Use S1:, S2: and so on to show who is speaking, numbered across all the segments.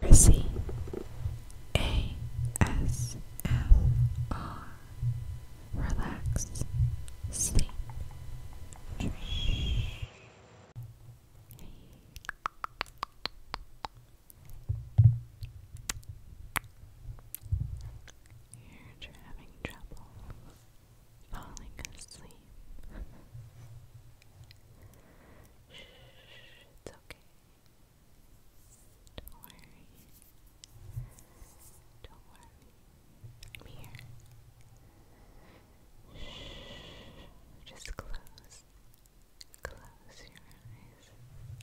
S1: Mercy A S M R Relax Sleep Dream You're having trouble falling asleep. Shh, it's okay. Don't worry. Don't worry. I'm here. Shh, just close. Close your eyes.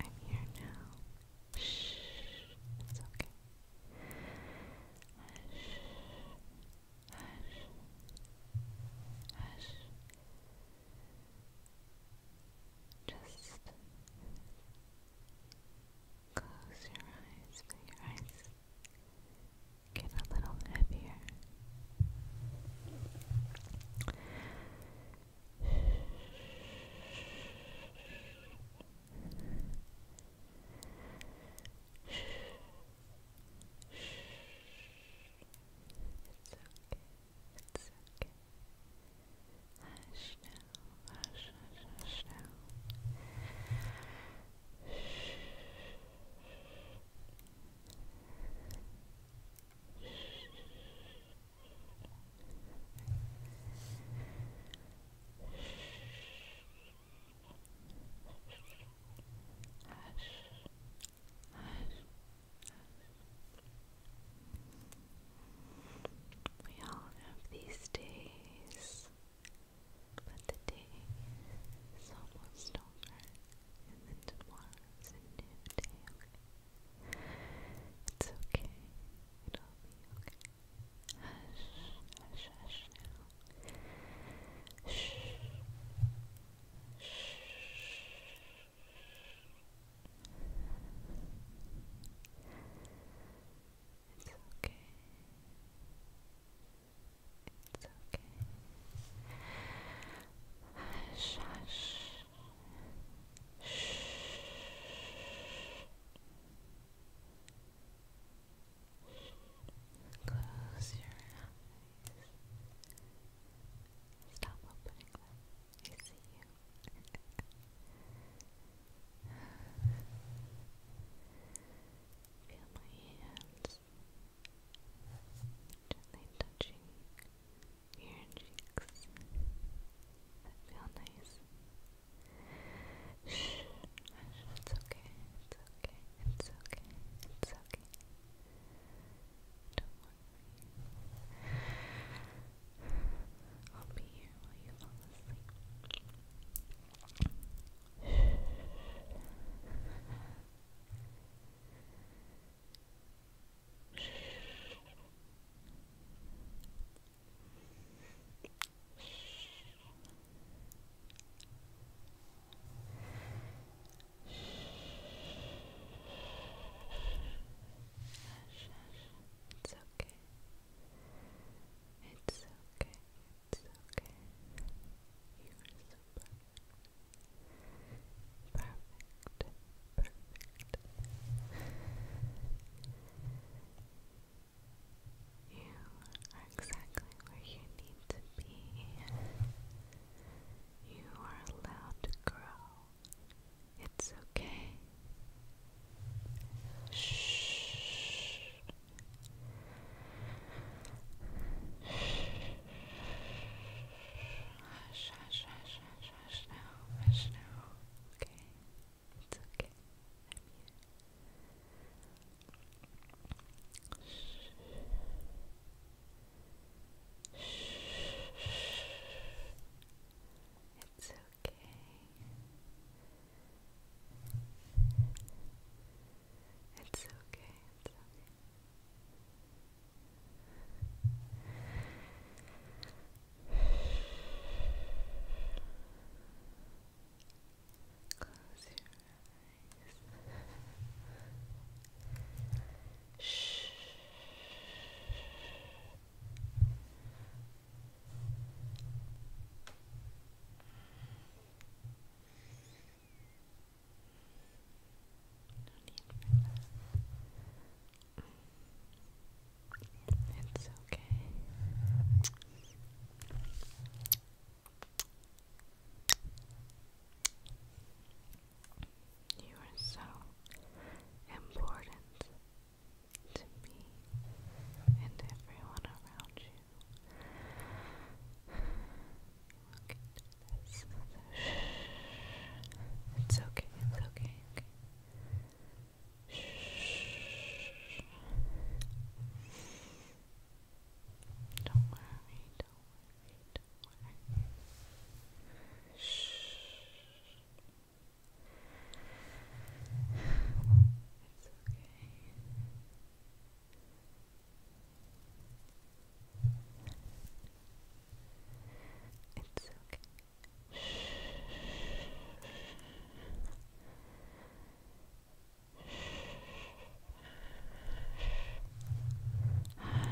S1: I'm here now. Shh, it's okay. Shh, hush, hush. Just close your eyes, but your eyes get a little heavier. Shh. Shh. It's okay. It's okay. Hush now. Hush, hush, hush now. Shh. Shh hush. We all have these days, but the day is almost over, and a new day. It's okay. It'll be okay hush, hush now. Shh. Shh. It's okay.
S2: It's okay. Hush, hush. Shh. Close your eyes. Stop opening them. I see you. Feel my hands gently touching your cheeks. That feel nice. Shh, it's okay, it's okay, it's okay, it's okay. Don't worry. I'll be here while you fall asleep. Shh. It's okay. It's okay. It's okay. You are so perfect. Perfect. You are exactly where you need to be. You are allowed to grow. It's okay. Shh. Hush, hush, hush, hush, hush now, now, okay? It's okay. Shh. Shh. It's okay. It's okay. It's okay. Close your eyes. Shh. No need for that. It's okay. You are so important to me and everyone around you. It's okay, it's okay, okay. Shh. Don't worry, don't worry, don't worry. Shh. It's okay. Shh. It's okay. Shh. Hush,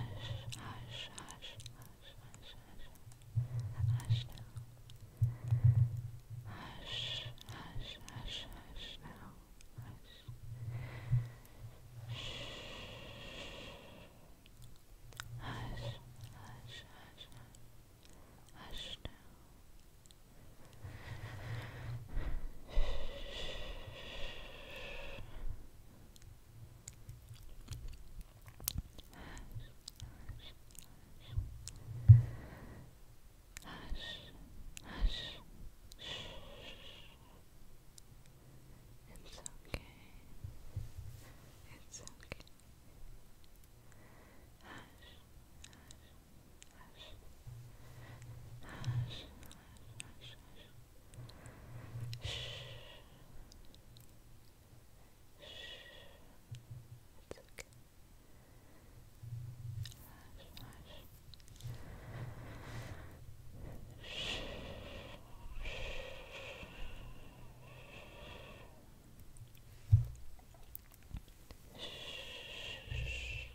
S2: hush, hush, hush, hush, hush. Hush now. Hush, hush, hush, hush now. Hush. Shh.
S3: Hush, hush, hush, hush. now. Hush, hush, hush. Shh. It's okay. It's okay. Hush, hush, hush. Hush, hush, hush, hush. Shh. It's okay. Hush, hush. Shh. It's okay. Hush, hush, hush.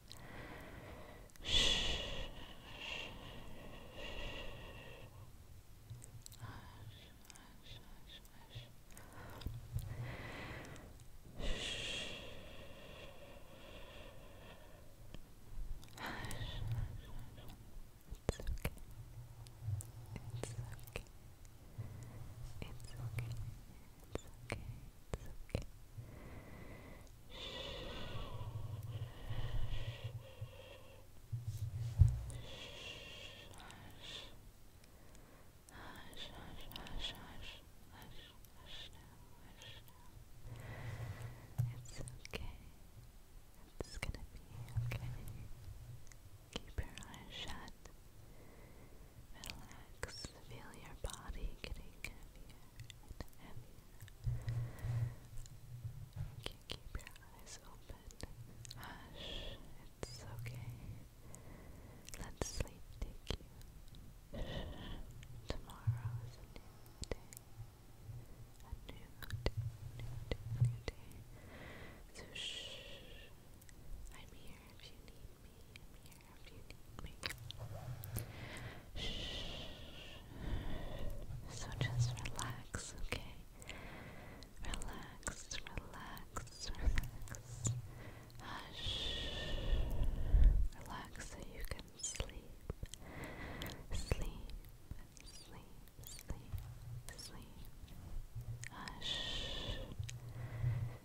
S3: Shh. Hush, hush, hush, hush. Shh. Hush, hush, hush. It's okay. It's okay. It's okay. It's okay okay. Hush, hush, hush, hush, hush, hush now, hush now. It's okay. It's gonna be okay. Keep your eyes shut. Relax. Feel your body getting heavier and heavier. You can keep your eyes open. Hush. It's okay. Let sleep take you. Tomorrow is a new day. A new day, new day, new day. So shh, I'm here if you need me. I'm here if you need me. Shh. So just relax, okay? Relax, relax, relax. Hush. Relax so you can sleep. Sleep, sleep, sleep, sleep. Hush.